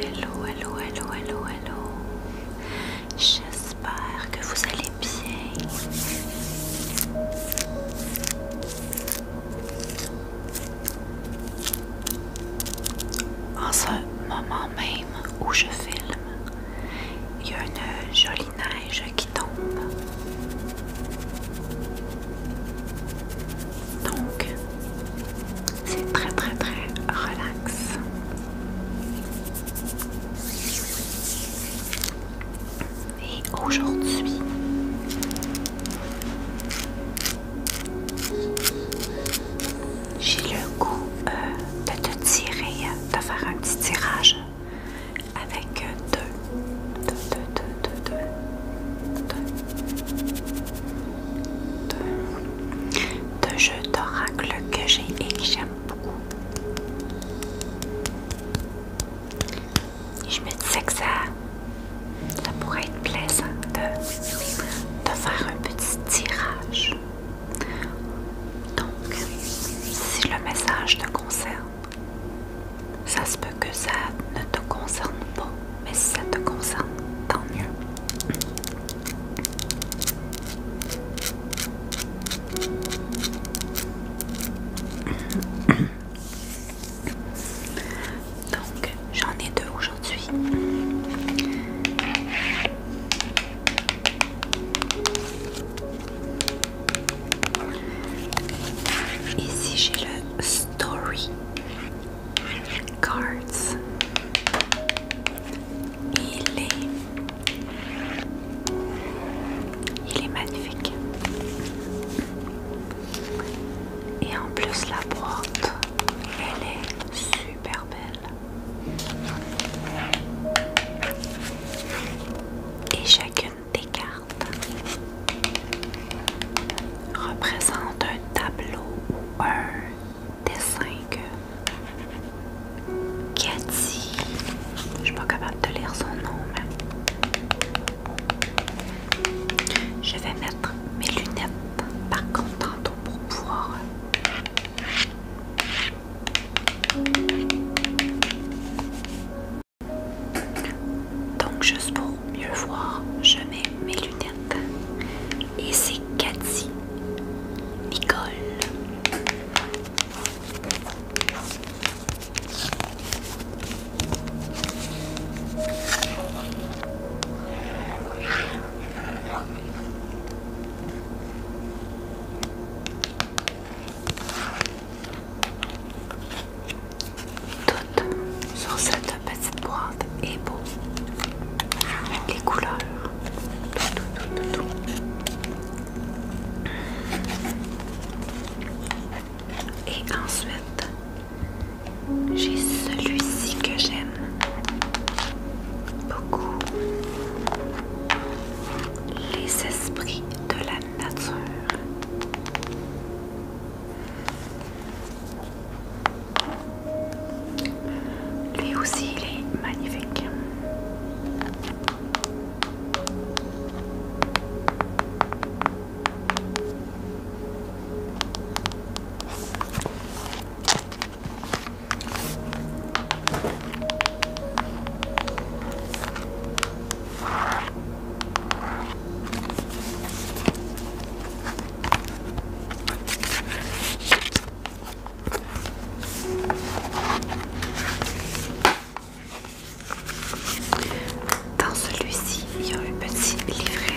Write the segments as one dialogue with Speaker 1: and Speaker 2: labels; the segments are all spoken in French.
Speaker 1: Hello, hello, hello, hello, hello. J'espère que vous allez bien. En ce moment même où je filme, il y a une jolie neige qui tombe. Donc, c'est très très très relax. Et aujourd'hui, j'ai le goût euh, de te tirer, de faire un petit tirage avec euh, deux. Deux, deux, deux, deux, jeux d'oracle que j'ai et que j'aime beaucoup. Je me disais que ça, pourrait être plaisant de faire un petit tirage donc, si le message te concerne, ça se peut que ça ne te concerne pas, mais si ça te concerne, tant mieux. Donc, j'en ai deux aujourd'hui. Ici j'ai le Story Cards. Il est, il est magnifique. Et en plus la boîte, elle est super belle. Et chacune des cartes représente un tableau ou un dessin que Cathy, je suis pas capable de lire son nom, mais je vais mettre mes lunettes par contre tantôt pour pouvoir donc juste pour mieux voir, je mets mes lunettes. Et c'est Cathy Nicole. Tout sur cette petite boîte est beau. Les couleurs. Tout, tout, tout, Et ensuite, j'ai celui-ci que j'aime beaucoup les esprits de la nature. Lui aussi, il est magnifique. Dans celui-ci, il y a un petit livret.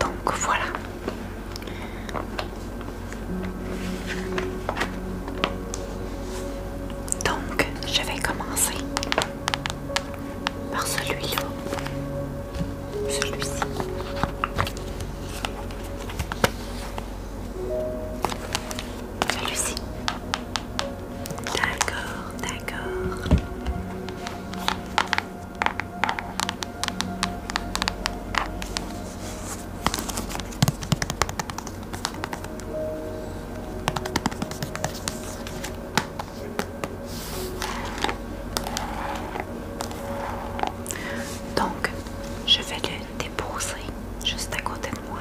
Speaker 1: Donc voilà. Donc je vais commencer par celui-là. Celui-ci. Celui-ci. D'accord, d'accord. Donc, je vais le déposer juste à côté de moi.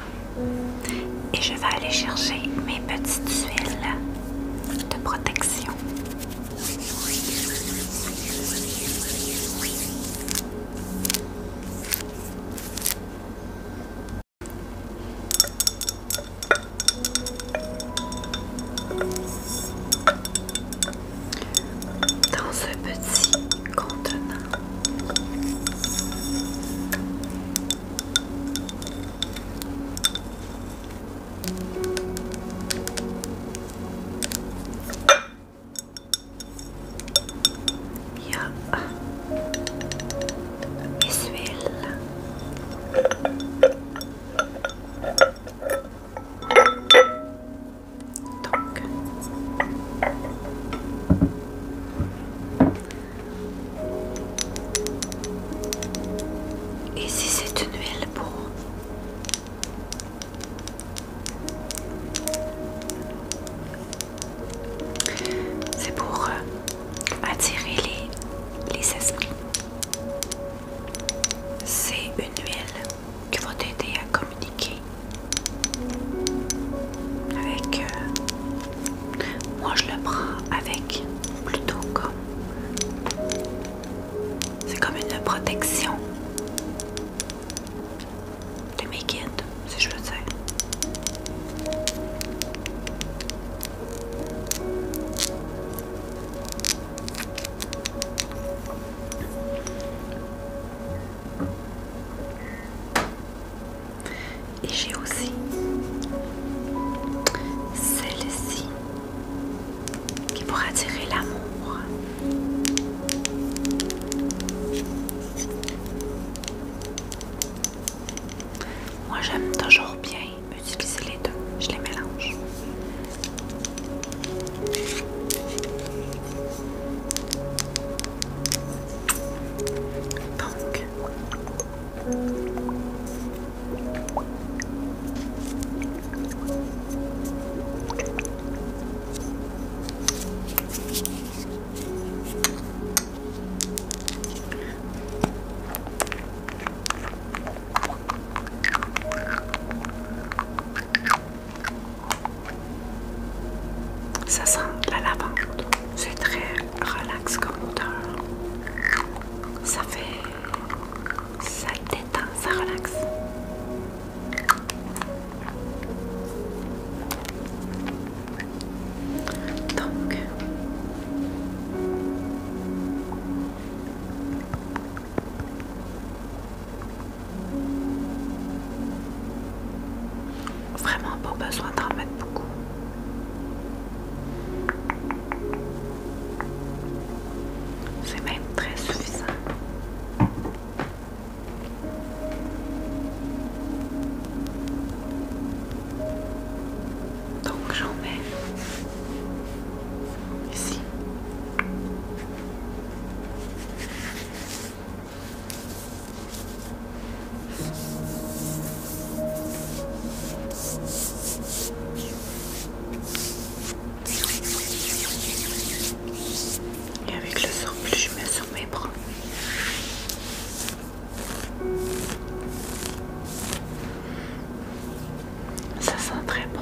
Speaker 1: Et je vais aller chercher mes petites huiles de protection dans ce petit contenant. Il y a les huiles et si c'est une huile pour c'est pour euh, attirer les, les esprits. C'est une huile qui va t'aider à communiquer avec... Euh, moi je le prends avec plutôt comme... C'est comme une protection de mes guides, si je le sais et j'ai aussi celle-ci qui pourra tirer l'amour. Moi j'aime toujours bien utiliser les deux. Je les mélange. Donc, ça sent la lavande. C'est très relax comme odeur. Ça fait... ça détend, ça relaxe. Donc... Vraiment pas besoin d'en mettre beaucoup. C'est même très suffisant. Donc j'en mets ici. Et avec le surplus, je mets sur mes bras. Ça sent très bon.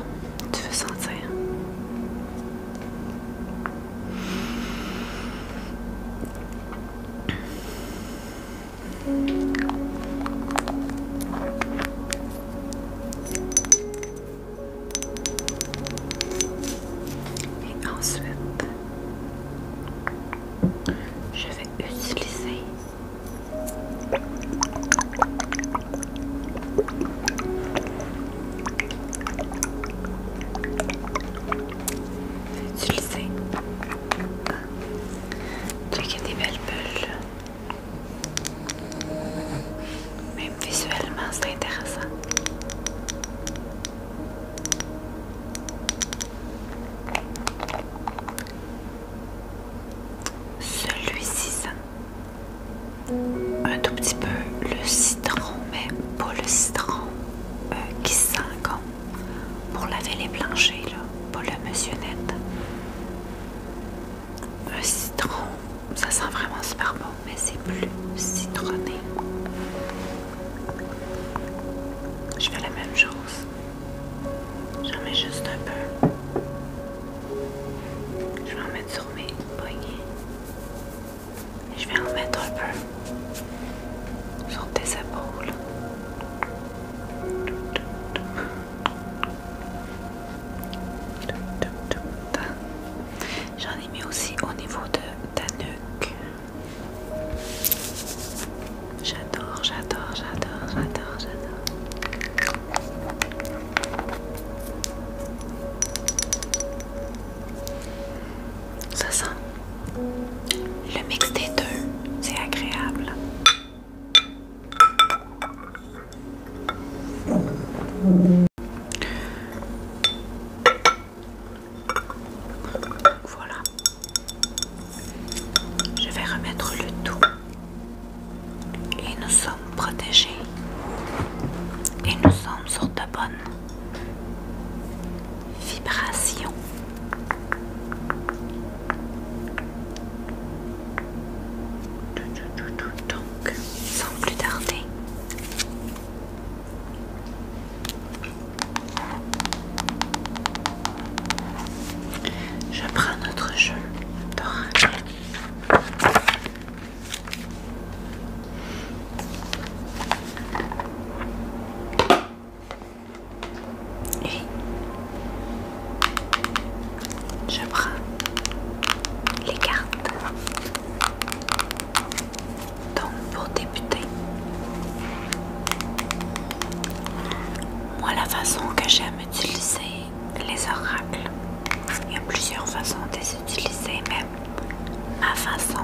Speaker 1: Tu veux sentir? Et ensuite, je vais utiliser tu le sais. Tu as des belles bulles. Même visuellement, c'est intéressant. Celui-ci un tout petit peu le citron, mais pas le citron euh, qui sent comme pour laver les planchers, là, pas le monsieur net. Un citron, ça sent vraiment super bon, mais c'est plus citronné. Je fais la même chose. J'en mets juste un peu. Je vais en mettre sur mes poignets. je vais en mettre un peu sur tes épaules. J'en ai mis aussi au niveau de ta nuque. J'adore, j'adore, j'adore, j'adore, j'adore. Ça sent. Le mix des deux, c'est agréable. Voilà. Je vais remettre le tout. Et nous sommes protégés. Et nous sommes sur de bonnes vibrations. Donc, sans plus tarder. Je prends notre jeu Et je prends les cartes. Donc pour débuter, moi la façon que j'aime utiliser les, oracles. Il y a plusieurs façons de les utiliser, mais ma façon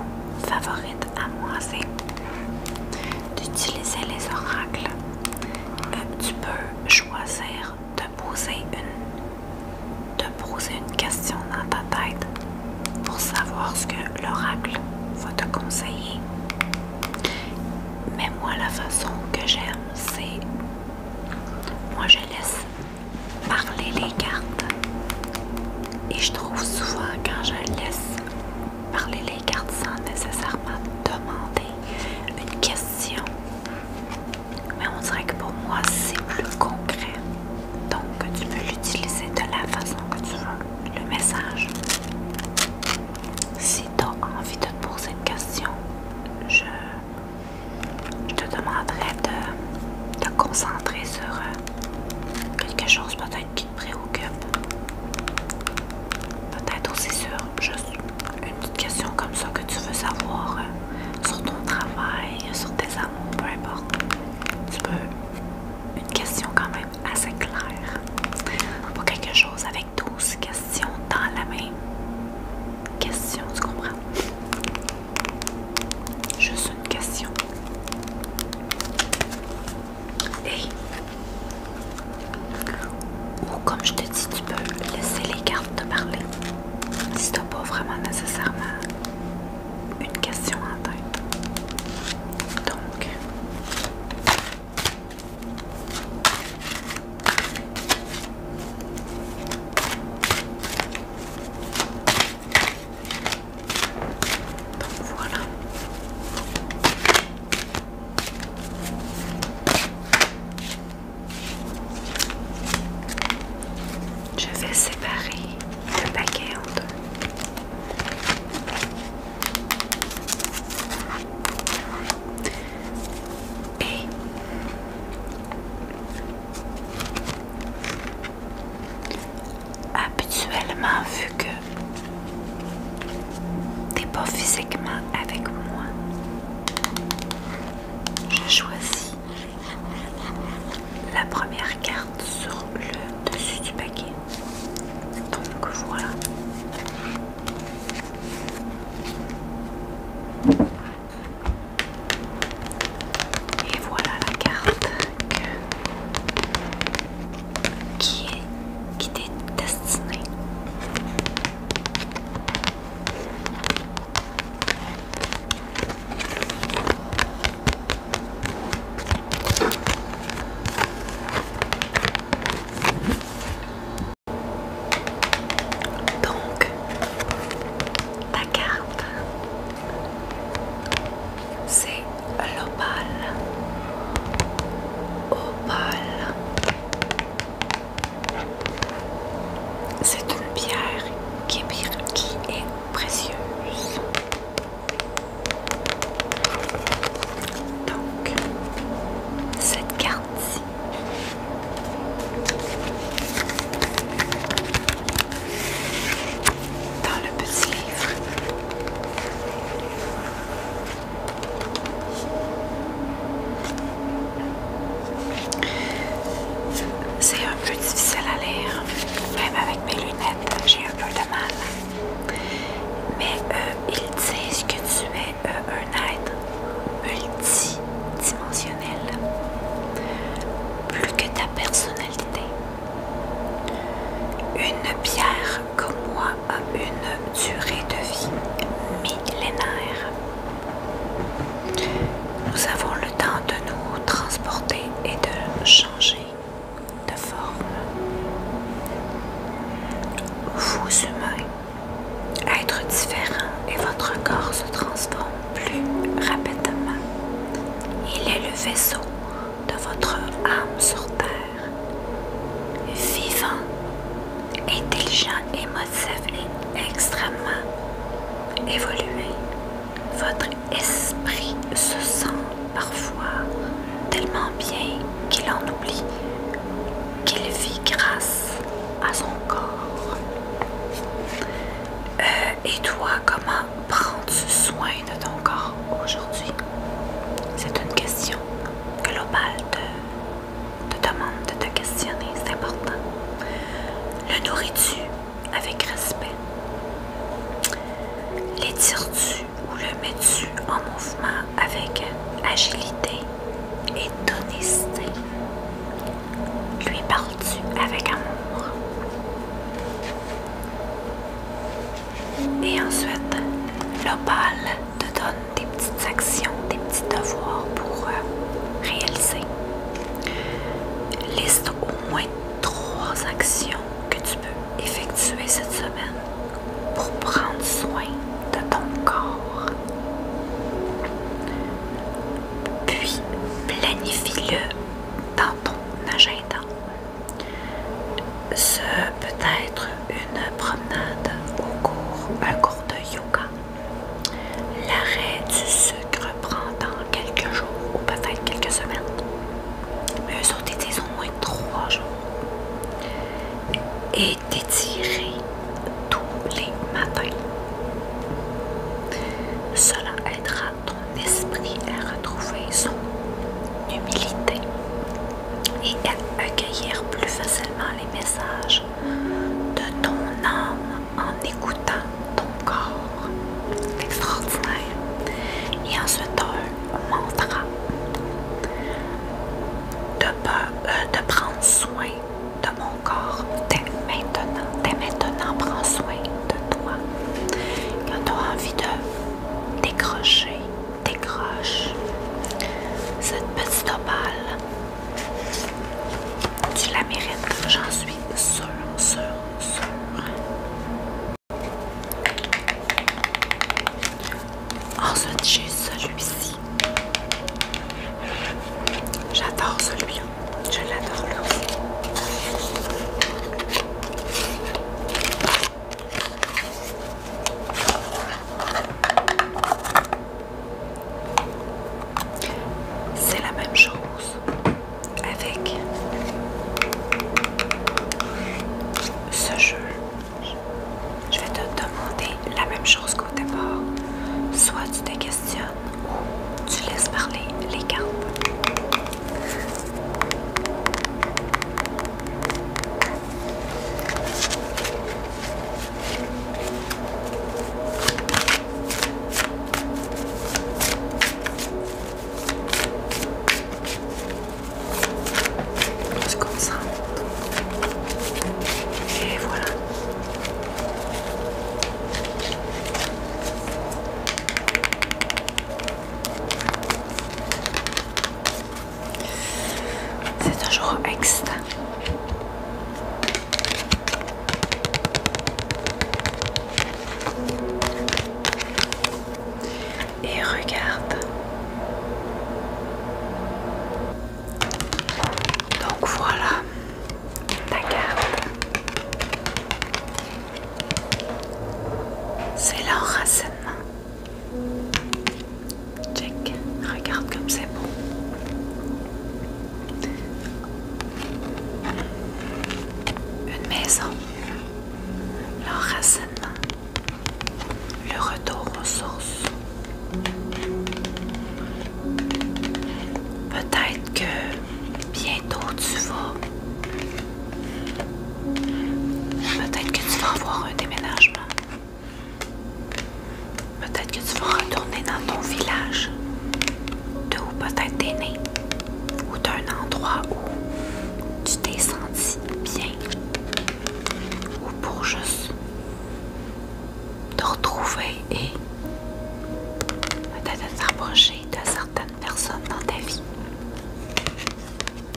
Speaker 1: favorite à moi, c'est d'utiliser les oracles. Euh, tu peux choisir de poser une, de poser une question dans ta tête pour savoir ce que l'oracle va te conseiller. Mais moi, la façon que j'aime, c'est. Moi, je laisse parler les cartes. Et je trouve souvent, quand je laisse parler les cartes sans nécessairement demander une question, mais on dirait que pour moi, c'est plus concret. Donc, tu peux l'utiliser de la façon que tu veux, le message si tu as envie de te poser une question, je, je te demanderais de te concentrer sur euh, quelque chose peut-être qui te préoccupe. Peut-être aussi sur juste une petite question comme ça que tu veux savoir euh, sur ton travail, sur tes amours, peu importe. Tu peux une question quand même assez claire. pour quelque chose avec 12 questions dans la même question, tu comprends? Juste une question. Et ou comme je te dis, tu peux laisser les cartes te parler si t'as pas vraiment nécessairement une question en tête. Donc, voilà. Je vais séparer le paquet en deux. Et habituellement, vu que t'es pas physiquement avec moi, je choisis la première carte sur le dessus du paquet. Donc voilà. Et voilà la carte qui est qui est destinée. Donc, ta carte, c'est l'opale. Opale. C'est une pierre qui est, qui est précieuse. Donc, cette carte-ci. Dans le petit livre. C'est un peu difficile à lire, même avec mes lunettes, j'ai un peu de mal. Mais euh, ils disent que tu es. Euh, un être multidimensionnel, plus que ta personnalité. Une pierre comme moi a une durée de vie millénaire. Nous avons le temps de nous transporter et de changer de forme. Vous humains être différent et votre corps se transforme plus rapidement. Il est le vaisseau de votre âme sur Terre. Vivant, intelligent, émotif et extrêmement évolué, votre esprit se sent parfois tellement bien qu'il en oublie qu'il vit grâce à son corps. Euh, et toi, comment prends-tu soin de ton corps aujourd'hui? C'est une question globale de te, te demande de te questionner, c'est important. Le nourris-tu avec respect? L'étires-tu ou le mets-tu en mouvement avec agilité et d'honesté? Lui parles-tu avec amour? Et ensuite, l'opale te donne des petites actions, des petits devoirs pour euh, réaliser. Liste au moins trois actions que tu peux effectuer cette semaine pour prendre soin de ton corps. Puis planifie-le dans ton agenda. Ce peut être une promenade au cours, un cours de yoga, l'arrêt du sucre dans quelques jours ou peut-être quelques semaines. Mais eux autres, au moins trois jours. Et tous les matins. Cela aidera ton esprit à retrouver son humilité et à accueillir plus facilement les messages de ton âme en écoutant ton corps. Extraordinaire. Et ensuite, mon de, euh, de prendre soin de mon corps dès maintenant. Dès maintenant, prends soin de toi. Quand tu as envie de décrocher, décroche cette petite opale. Tu la mérites, j'en suis sûre, sûre, sûre. Ensuite, oh, j'ai celui-ci. J'adore celui-là. Je l'adore là C'est la même chose avec ce jeu je vais te demander la même chose qu'au départ. Soit tu te questionnes ou tu laisses parler les cartes. Parce comme ça. Et voilà. C'est un jour extra et regarde. Donc voilà ta carte. C'est l'enracinement. Check, regarde comme c'est beau. Une maison, l'enracinement le retour aux sources. Peut-être que bientôt tu vas. Peut-être que tu vas avoir un déménagement. Peut-être que tu vas retourner dans ton village, de où peut-être t'es né, ou d'un endroit où tu t'es senti bien ou pour juste te retrouver et peut-être rapprocher de certaines personnes dans ta vie.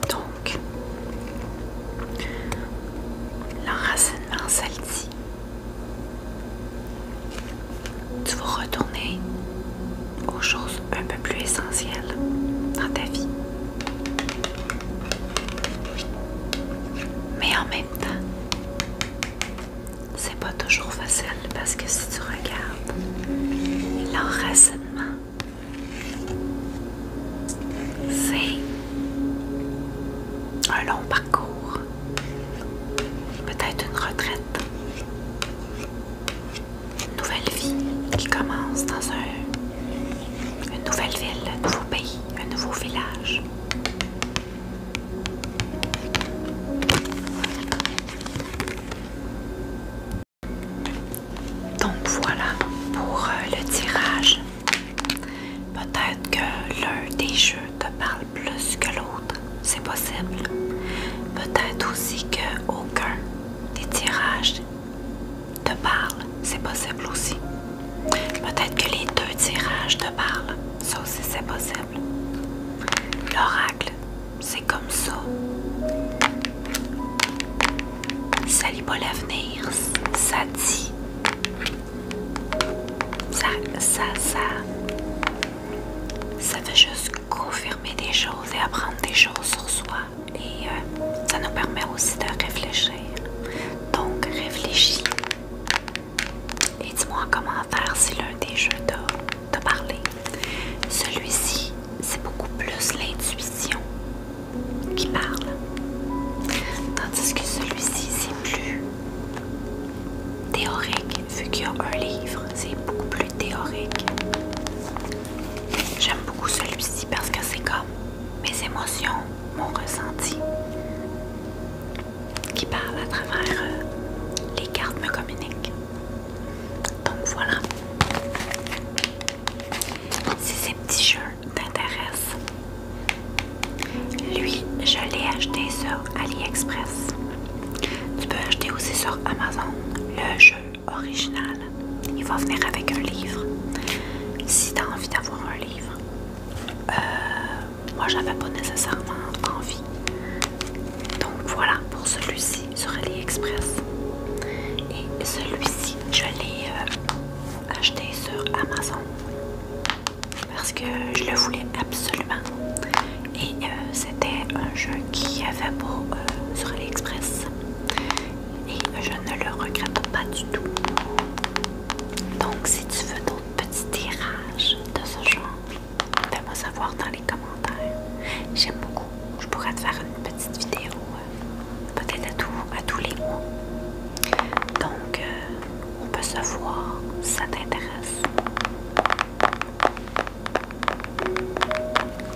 Speaker 1: Donc, l'enracinement, celle Tu vas retourner aux choses un peu plus essentielles dans ta vie. Mais en même temps, c'est pas toujours facile parce que si tu regardes l'enracinement, c'est un long parcours, peut-être une retraite, une nouvelle vie qui commence dans un une nouvelle ville, un nouveau pays, un nouveau village. Donc voilà pour euh, le tirage. Peut-être que l'un des jeux te parle plus que l'autre, c'est possible. Peut-être aussi que aucun des tirages te parle, c'est possible aussi. Peut-être que les deux tirages te parlent, ça aussi c'est possible. L'oracle, c'est comme ça. Ça lit pas l'avenir, ça dit. Ça, ça, ça. Ça fait juste confirmer des choses et apprendre des choses sur soi et euh, ça nous permet aussi de réfléchir. Donc réfléchis et dis-moi en commentaire si l'un des jeux t'a parlé. Celui-ci, c'est beaucoup plus l'intuition qui parle. Tandis que celui-ci, c'est plus théorique, vu qu'il y a un livre, c'est beaucoup plus théorique. J'aime beaucoup celui-ci parce que c'est comme mes émotions, mon ressenti qui parle à travers euh, les cartes me communiquent. Donc voilà. Si ces petits jeux t'intéressent, lui, je l'ai acheté sur AliExpress. Tu peux acheter aussi sur Amazon le jeu original. Il va venir avec un livre. Si tu as envie d'avoir un livre, euh, moi j'avais pas nécessairement envie. Donc voilà pour celui-ci sur AliExpress. Et celui-ci, je l'ai euh, acheté sur Amazon parce que je le voulais absolument. Et euh, c'était un jeu qui avait pas sur AliExpress et je ne le regrette pas du tout. Donc si tu veux d'autres petits tirages de ce genre, fais-moi savoir dans les commentaires. J'aime beaucoup. Je pourrais te faire une petite vidéo, euh, peut-être à, à tous les mois. Donc euh, on peut se voir si ça t'intéresse.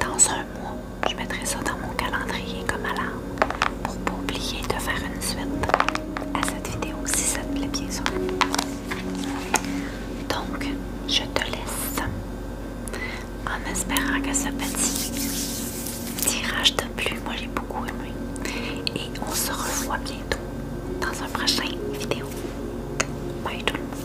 Speaker 1: Dans un moi, je mettrai ça dans mon calendrier comme alarme pour pas oublier de faire une suite à cette vidéo si ça te plaît bien sûr. Donc, je te laisse en espérant que ce petit tirage de plu. Moi, j'ai beaucoup aimé. Et on se revoit bientôt dans un prochain vidéo. Bye tout le monde.